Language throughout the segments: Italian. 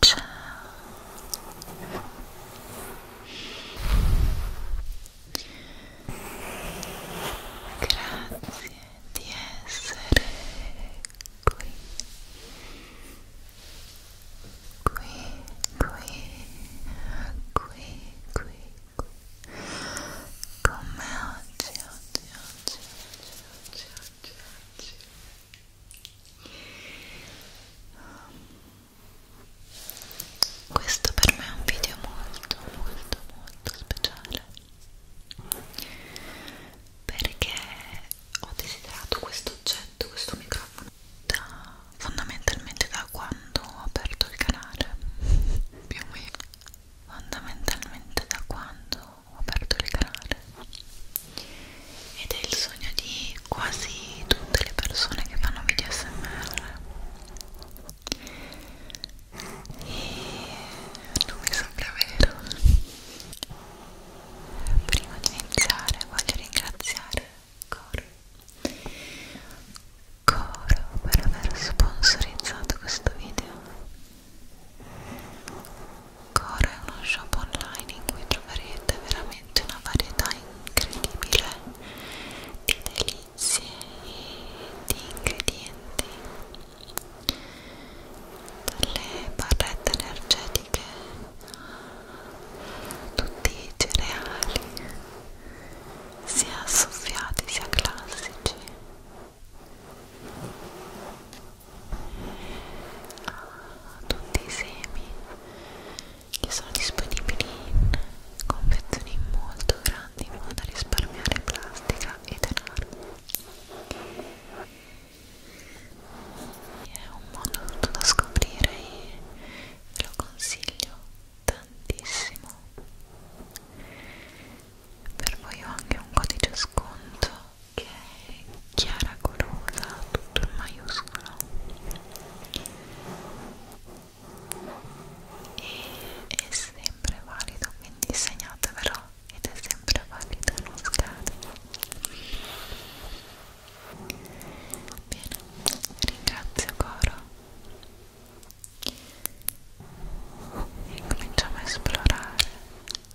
Ciao. Grazie di essere qui. Qui, qui, qui, qui, qui. Come oggi, oggi, oggi, oggi, oggi, oggi, oggi questo per me è un video molto molto molto speciale perché ho desiderato questo oggetto, questo microfono da, fondamentalmente da quando ho aperto il canale più o meno fondamentalmente da quando aperto il canale ed è il sogno di quasi tutte le persone che fanno video smr e non mi sembra vero prima di iniziare voglio ringraziare Coro Coro per aver sponsorizzato questo video Core è uno shop online in cui troverete veramente una varietà incredibile di delizie e di ingredienti dalle barrette energetiche tutti i cereali sia soffiati sia classici tutti i semi che sono disponibili in confezioni molto grandi in modo da risparmiare plastica e denaro è un mondo tutto da scoprire e ve lo consiglio tantissimo per voi ho anche un codice sconto ok chiara colorosa tutto in maiuscolo e è sempre valido quindi segnatevelo ed è sempre valido non scade bene ringrazio Coro e cominciamo a esplorare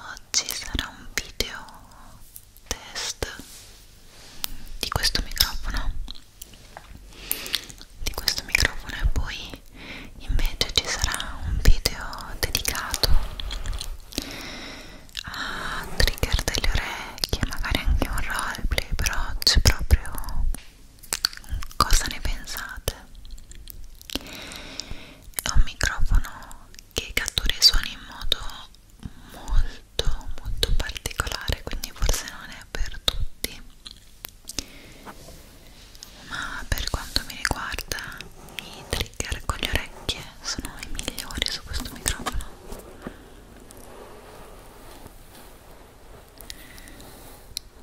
oggi sarà un video test di questo microfono di questo microfono e poi invece ci sarà un video dedicato a trigger delle orecchie magari anche un roleplay però c'è proprio cosa ne pensate è un microfono che cattura i suoni in modo molto molto particolare quindi forse non è per tutti ma per quanto mi riguarda i trigger con le orecchie sono i migliori su questo microfono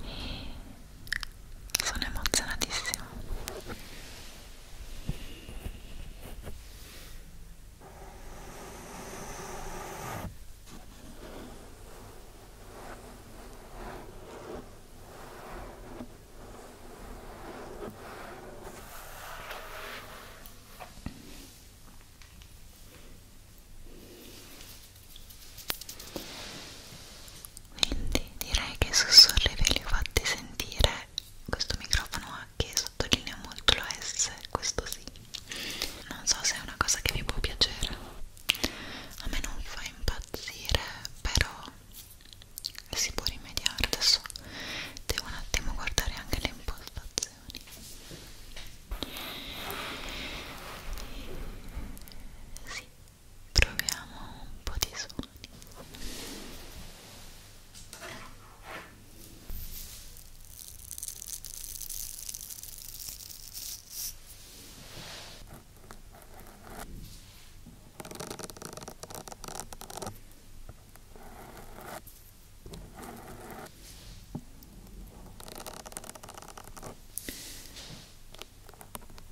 e sono emozionatissima quindi direi che i sussurri ve li ho fatti sentire questo microfono ha che sottolinea molto la S questo sì non so se è una cosa che vi può piacere a me non fa impazzire però si può rimediare adesso devo un attimo guardare anche le impostazioni sì proviamo un po' di suoni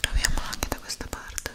Proviamo anche da questa parte.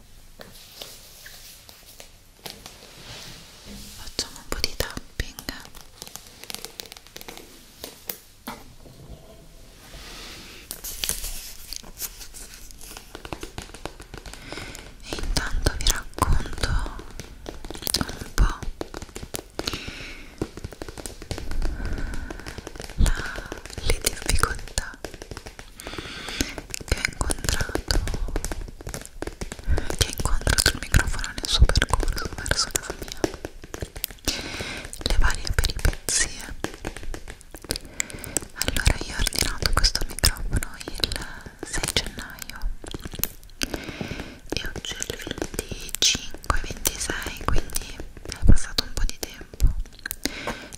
facciamo un po' di tapping e intanto vi racconto un po' la, le difficoltà che ha incontrato che ha incontrato il microfono nel suo percorso verso casa mia le varie peripezie allora io ho ordinato questo microfono il 6 gennaio e oggi è il 25-26 quindi è passato un po' di tempo tempo.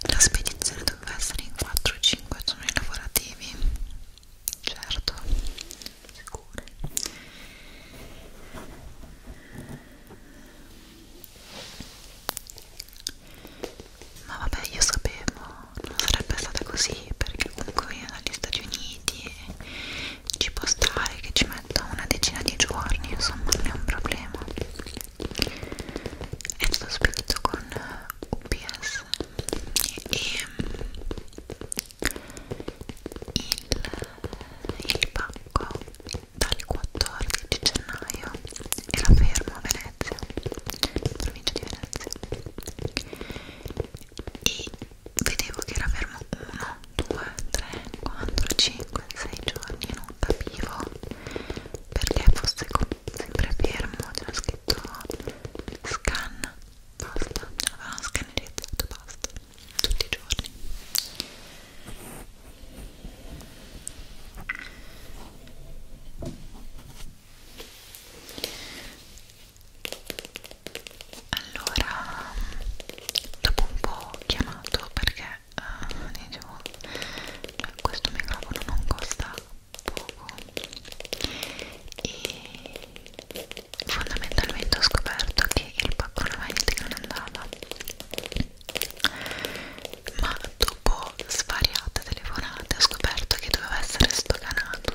La spedizione doveva essere in 4-5 giorni lavorativi, certo, sicure. Ma vabbè, io sapevo, non sarebbe stata così perché comunque viene dagli Stati Uniti e ci può stare che ci metta una decina di giorni, insomma, non è un problema è stato spedito con eh, UPS e ehm, il, il pacco dal 14 gennaio era fermo a Venezia, provincia di Venezia e vedevo che era fermo 1, 2, 3, 4, 5, 6 giorni e non capivo perché fosse comprato sempre fermo c'era scritto scan basta avevamo ah, scannerizzato basta tutti i giorni allora dopo un po' ho chiamato perché uh, eh, eh, dicevo eh, questo microfono non costa poco e fondamentalmente ho scoperto che il pacco magnetic non andava ma dopo svariate telefonate ho scoperto che doveva essere stocanato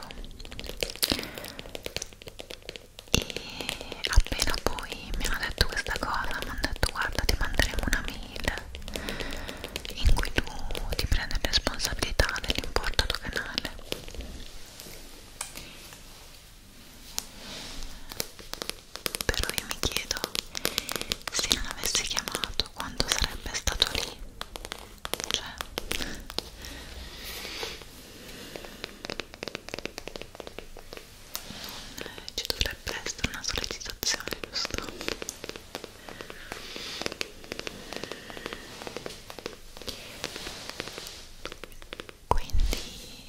e appena poi mi hanno detto questa cosa mi hanno detto guarda ti manderemo una mail mail in cui tu ti prendi responsabilità dell'importo doganale però io mi chiedo se non avessi chiamato quanto sarebbe stato lì cioè non ci dovrei fare presto una sollecitazione, giusto? Quindi,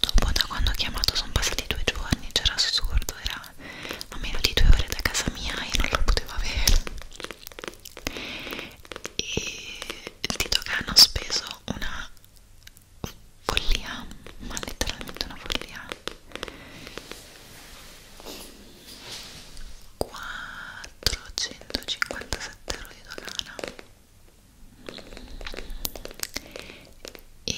dopo da quando ho chiamato sono passati due giorni, c'era assurdo, era a meno di due ore da casa mia e non lo potevo avere. E Tito Can ho speso una follia, ma letteralmente una follia 457 euro di dogana e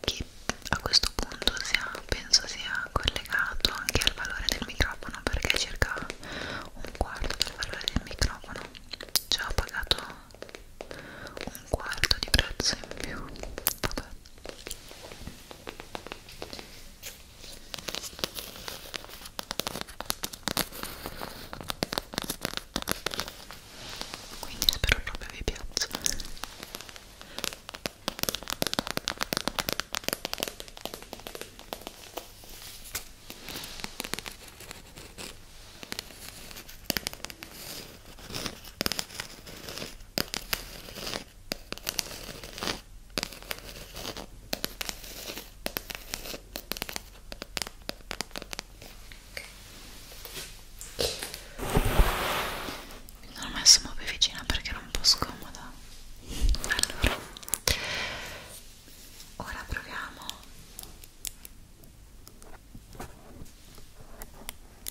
che a questo punto sia, penso sia collegato anche al valore del microfono perché è circa un quarto del valore del microfono cioè ho pagato un quarto di prezzo in più vabbè quindi spero proprio vi piaccia non ho messo più vicina perché era un po' scomoda allora ora proviamo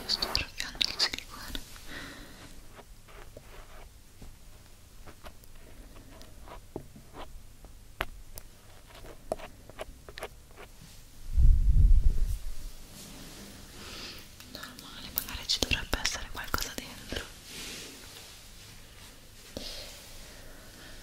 Io sto arrabbiando il silicone normale, magari ci dovrebbe essere qualcosa dentro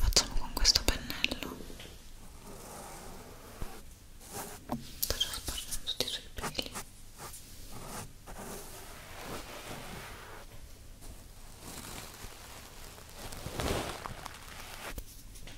Facciamo con questo pennello. Sto già spargendo tutti i suoi peli.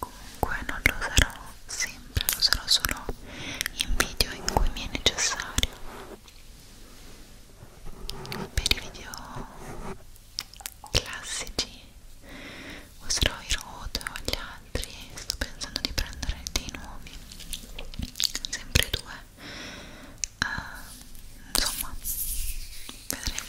comunque non lo sarò sempre lo sarò solo in video in cui mi è necessario per i video classici userò i rode o gli altri sto pensando di prendere dei nuovi sempre due uh, insomma vedremo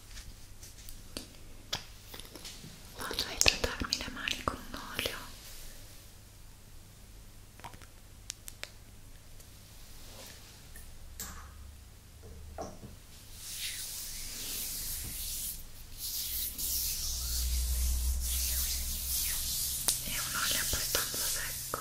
vado a idratarmi le mani con un olio è un olio abbastanza secco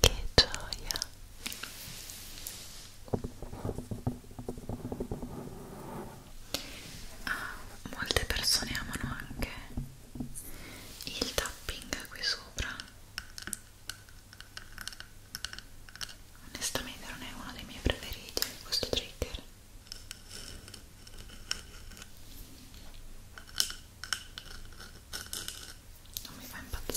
Che gioia. Ah, molte persone amano anche il tapping qui sopra onestamente non è uno dei miei preferiti questo trigger non mi fa impazzire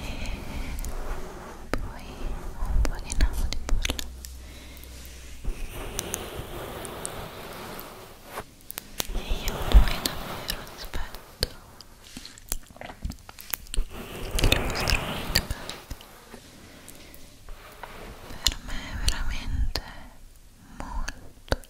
e poi un po' di nano di porla e io poi davvero aspetto il vostro feedback per me è veramente molto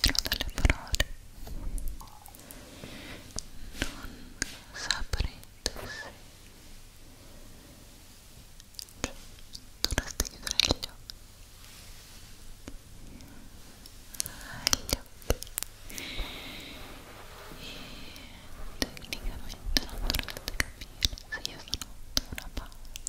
giro delle parole non saprete se cioè, dovreste chiudere gli occhi gli occhi e tecnicamente non dovreste capire se io sono da una parte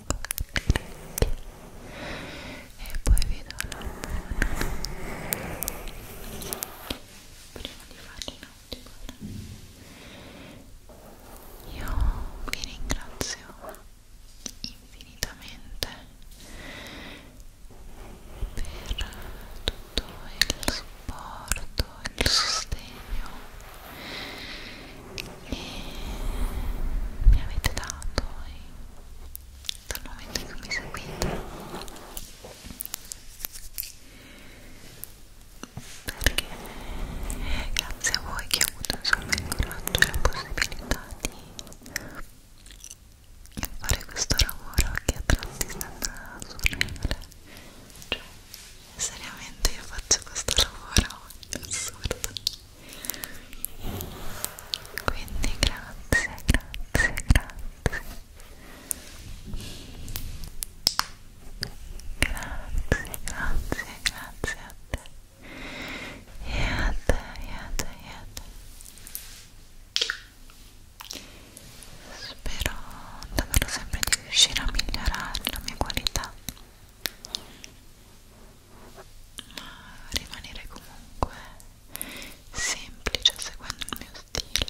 e poi vi do la prima di farci un io vi ringrazio infinitamente per tutto il supporto il sostegno e mi avete dato e eh, dal momento in cui mi seguite perché è eh, grazie a voi che ho avuto insomma il coraggio e la possibilità di fare questo lavoro che a tratti sembra surreale cioè seriamente io faccio questo lavoro assurdo quindi grazie grazie grazie grazie grazie grazie a te e a te e a te e a te spero davvero sempre di riuscire a migliorare la mia qualità ma rimanere comunque semplice seguendo il mio stile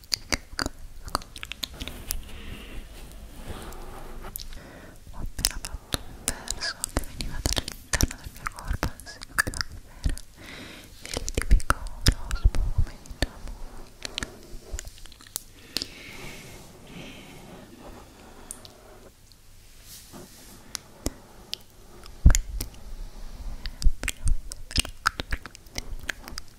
Ho appena fatto un verso che veniva dall'interno del mio corpo, anzi che era il tipico rospo come diciamo. Quindi,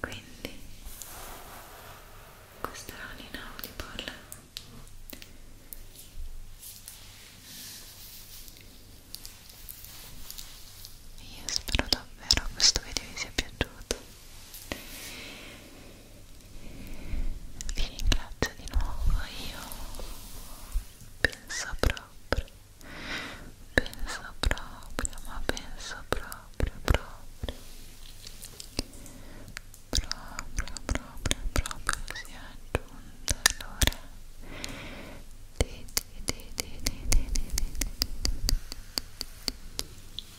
quindi questa era l'inaudiball io spero davvero questo video vi sia piaciuto vi ringrazio di nuovo io penso proprio penso proprio ma penso proprio proprio proprio proprio proprio si è giunta l'ora di di di di di di di di di di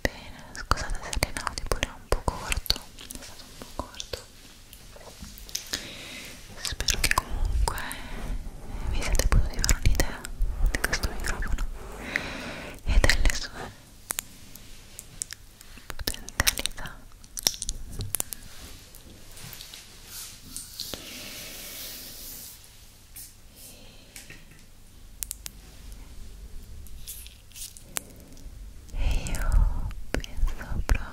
Bene, scusate se l'audio pure è un po' corto, è stato un po' corto spero che comunque vi siete potuti fare un'idea di questo microfono e delle sue potenzialità e io penso proprio